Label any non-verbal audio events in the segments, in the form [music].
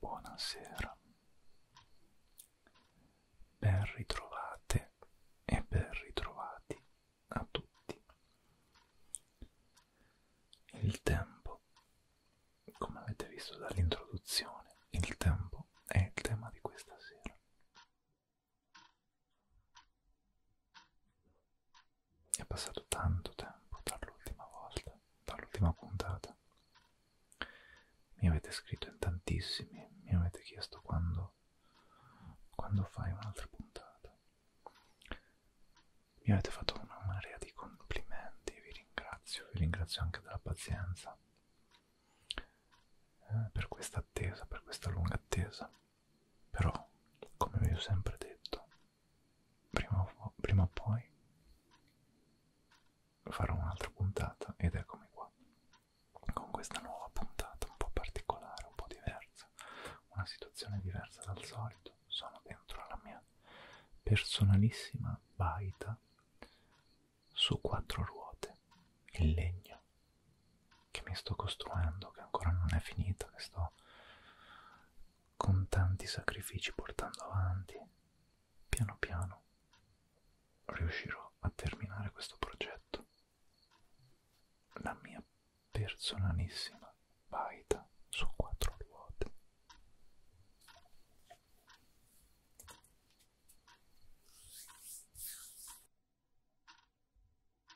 Buonasera, ben ritrovate e ben ritrovati a tutti. Il tempo, come avete visto dall'introduzione, il tempo è il tema di questa sera. È passato tanto tempo dall'ultima volta, dall'ultima puntata. Mi avete scritto in tantissimi, mi avete chiesto quando, quando fai un'altra puntata. Mi avete fatto una marea di complimenti, vi ringrazio, vi ringrazio anche della pazienza eh, per questa attesa, per questa lunga attesa. Però, come vi ho sempre detto, prima o, prima o poi farò un'altra puntata ed eccomi qua con questa nuova puntata un po' particolare, un po' diversa, una situazione diversa dal solito. Sono dentro alla mia personalissima baita su quattro ruote in legno che mi sto costruendo, che ancora non è finita, che sto con tanti sacrifici portando avanti, piano piano riuscirò a terminare questo progetto. La mia personalissima baita su quattro ruote.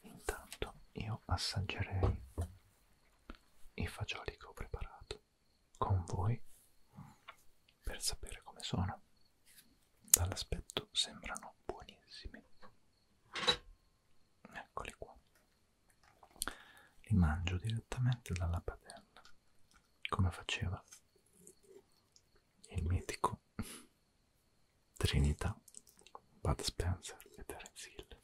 Intanto io assaggerei i fagioli che ho preparato con voi per sapere come sono. Dall'aspetto sembrano buonissimi. Eccoli qua. Li mangio direttamente dalla padella, come faceva il mitico Trinità, Bud Spencer e Terence Hill.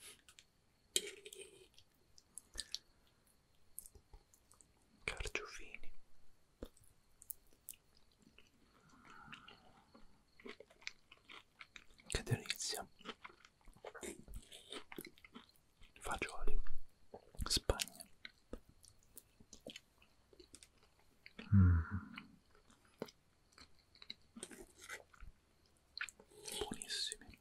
Carciofini. Che delizia. Fagioli. Spagna. Mm. Buonissimi.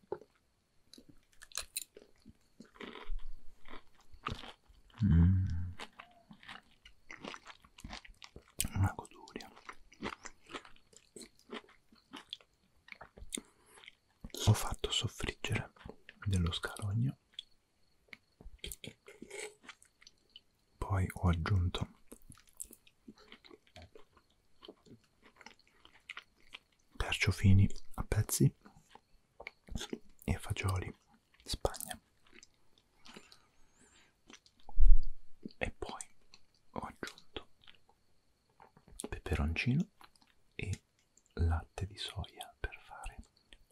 Mm. Una goduria. Ho fatto soffriggere dello scarogno poi ho aggiunto carciofini a pezzi e fagioli spagna e poi ho aggiunto peperoncino e di latte di soia per fare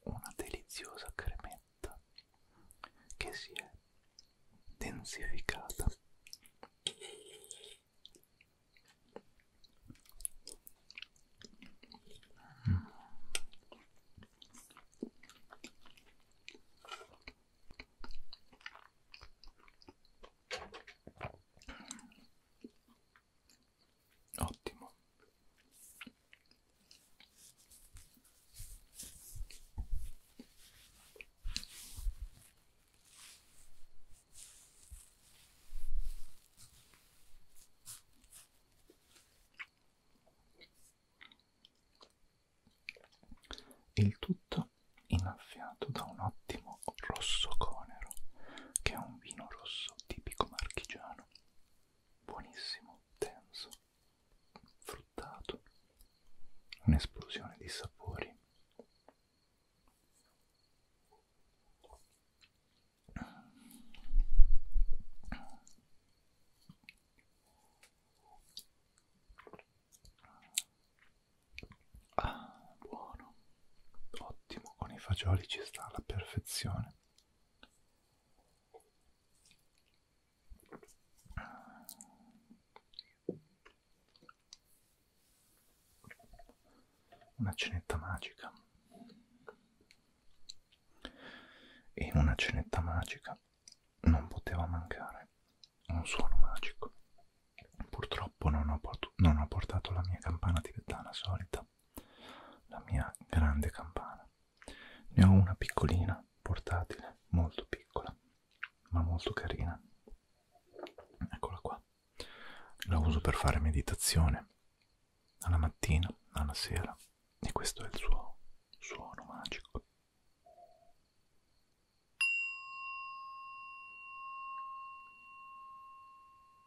una deliziosa cremetta che si è densificata mm. Ottimo. Il tutto innaffiato da un ottimo rosso conero, che è un vino rosso tipico marchigiano buonissimo, denso, fruttato, un'esplosione di sapori. Ah, buono, ottimo, con i fagioli ci sta alla perfezione. Una cenetta magica. E in una cenetta magica non poteva mancare un suono magico. Purtroppo non ho, non ho portato la mia campana tibetana solita la mia grande campana. Ne ho una piccolina, portatile, molto piccola, ma molto carina. Eccola qua. La uso per fare meditazione alla mattina, alla sera e questo è il suo suono magico.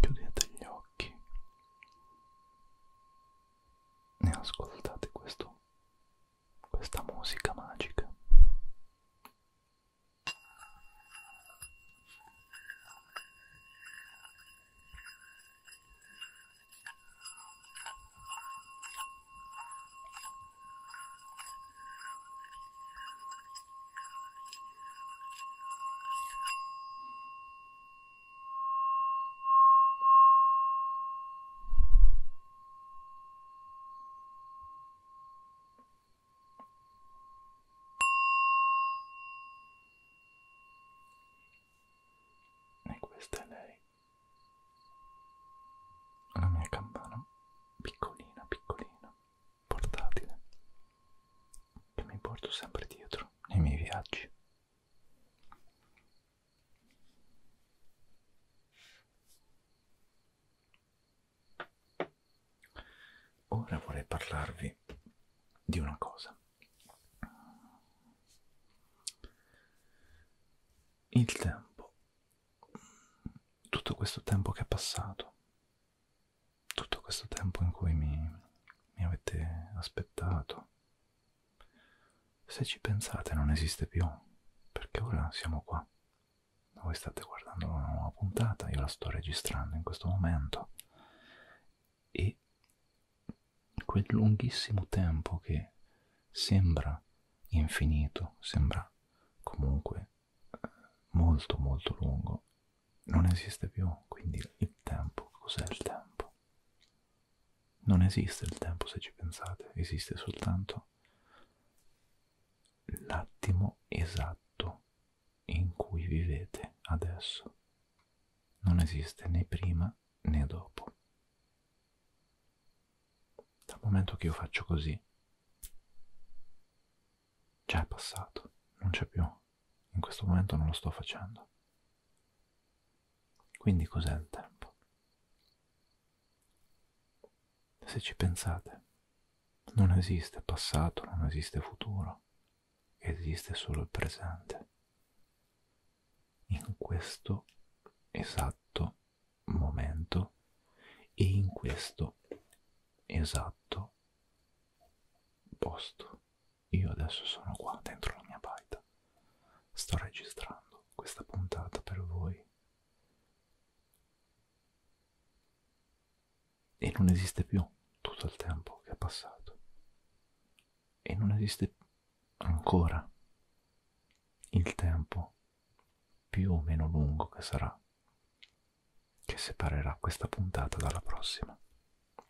Chiudete gli occhi e ascoltate questo, questa musica magica. E questa è lei la mia campana piccolina, piccolina, portatile, che mi porto sempre dietro nei miei viaggi. Ora vorrei parlarvi di una cosa il tempo, tutto questo tempo che è passato, tutto questo tempo in cui mi, mi avete aspettato, se ci pensate non esiste più, perché ora siamo qua. Voi state guardando una nuova puntata, io la sto registrando in questo momento e quel lunghissimo tempo che sembra infinito, sembra comunque eh, molto molto lungo, non esiste più. Quindi il tempo, cos'è il tempo? Non esiste il tempo se ci pensate, esiste soltanto l'attimo esatto in cui vivete adesso. Non esiste né prima né dopo. Dal momento che io faccio così, già è passato, non c'è più. In questo momento non lo sto facendo. Quindi cos'è il tempo? Se ci pensate, non esiste passato, non esiste futuro, esiste solo il presente. In questo esatto momento e in questo esatto posto. Io adesso sono qua dentro la mia baita. Sto registrando questa puntata per voi. E non esiste più tutto il tempo che è passato e non esiste ancora il tempo più o meno lungo che sarà che separerà questa puntata dalla prossima.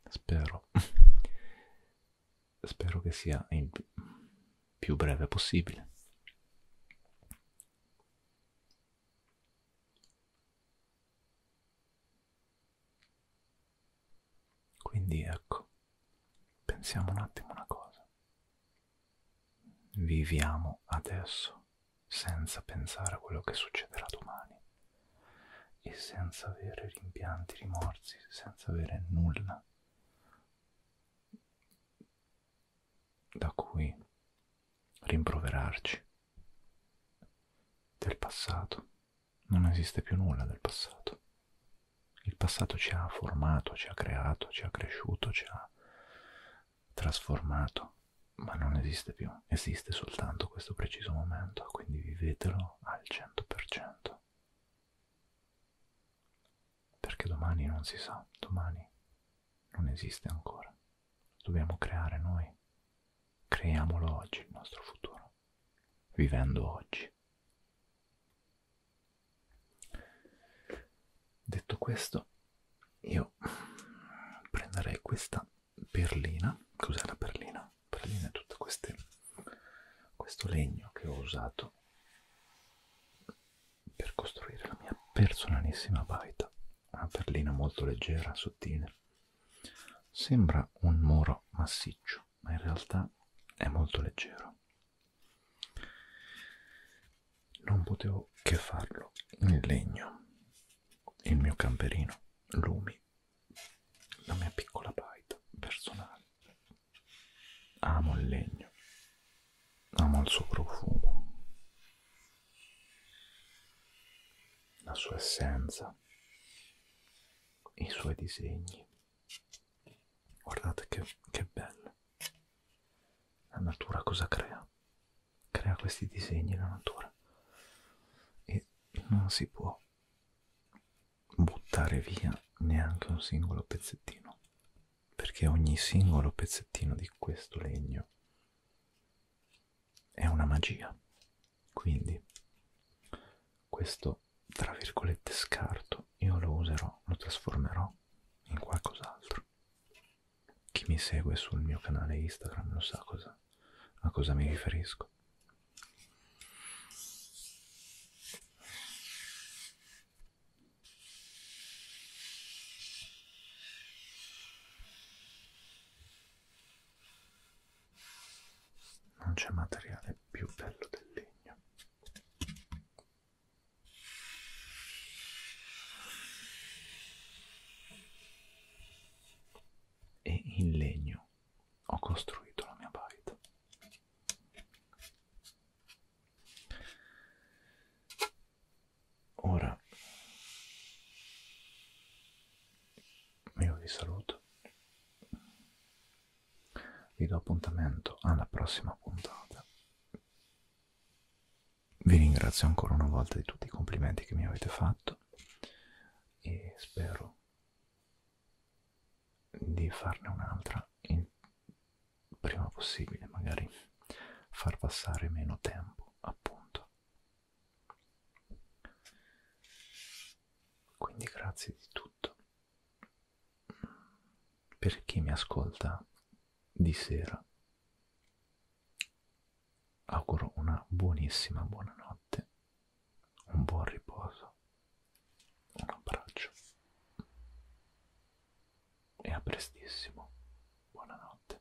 Spero. [laughs] Spero che sia il più breve possibile. Quindi ecco, pensiamo un attimo una cosa. Viviamo adesso senza pensare a quello che succederà domani e senza avere rimpianti, rimorsi, senza avere nulla da cui rimproverarci del passato non esiste più nulla del passato. Il passato ci ha formato, ci ha creato, ci ha cresciuto, ci ha trasformato, ma non esiste più. Esiste soltanto questo preciso momento, quindi vivetelo al 100%. Perché domani non si sa, domani non esiste ancora. Dobbiamo creare noi. Creiamolo oggi il nostro futuro stiamo vivendo oggi. Detto questo, io prenderei questa perlina. Cos'è la perlina? Perlina è tutto queste, questo legno che ho usato per costruire la mia personalissima baita. Una perlina molto leggera, sottile Sembra un muro massiccio, ma in realtà è molto leggero. Non potevo che farlo in legno, il mio camperino, lumi, la mia piccola baita personale. Amo il legno, amo il suo profumo, la sua essenza, i suoi disegni. Guardate che, che bello. La natura cosa crea? Crea questi disegni la natura e non si può buttare via neanche un singolo pezzettino perché ogni singolo pezzettino di questo legno è una magia. Quindi questo, tra virgolette, scarto io lo userò, lo trasformerò in qualcos'altro. Chi mi segue sul mio canale Instagram lo sa cosa, a cosa mi riferisco non c'è materiale più bello del legno e in legno ho costruito la mia baita ora io vi saluto vi do appuntamento alla prossima puntata vi ringrazio ancora una volta di tutti i complimenti che mi avete fatto e spero di farne un'altra il prima possibile magari far passare meno tempo appunto quindi grazie di tutto. Per chi mi ascolta di sera, auguro una buonissima buonanotte, un buon riposo, un abbraccio e a prestissimo. Buonanotte.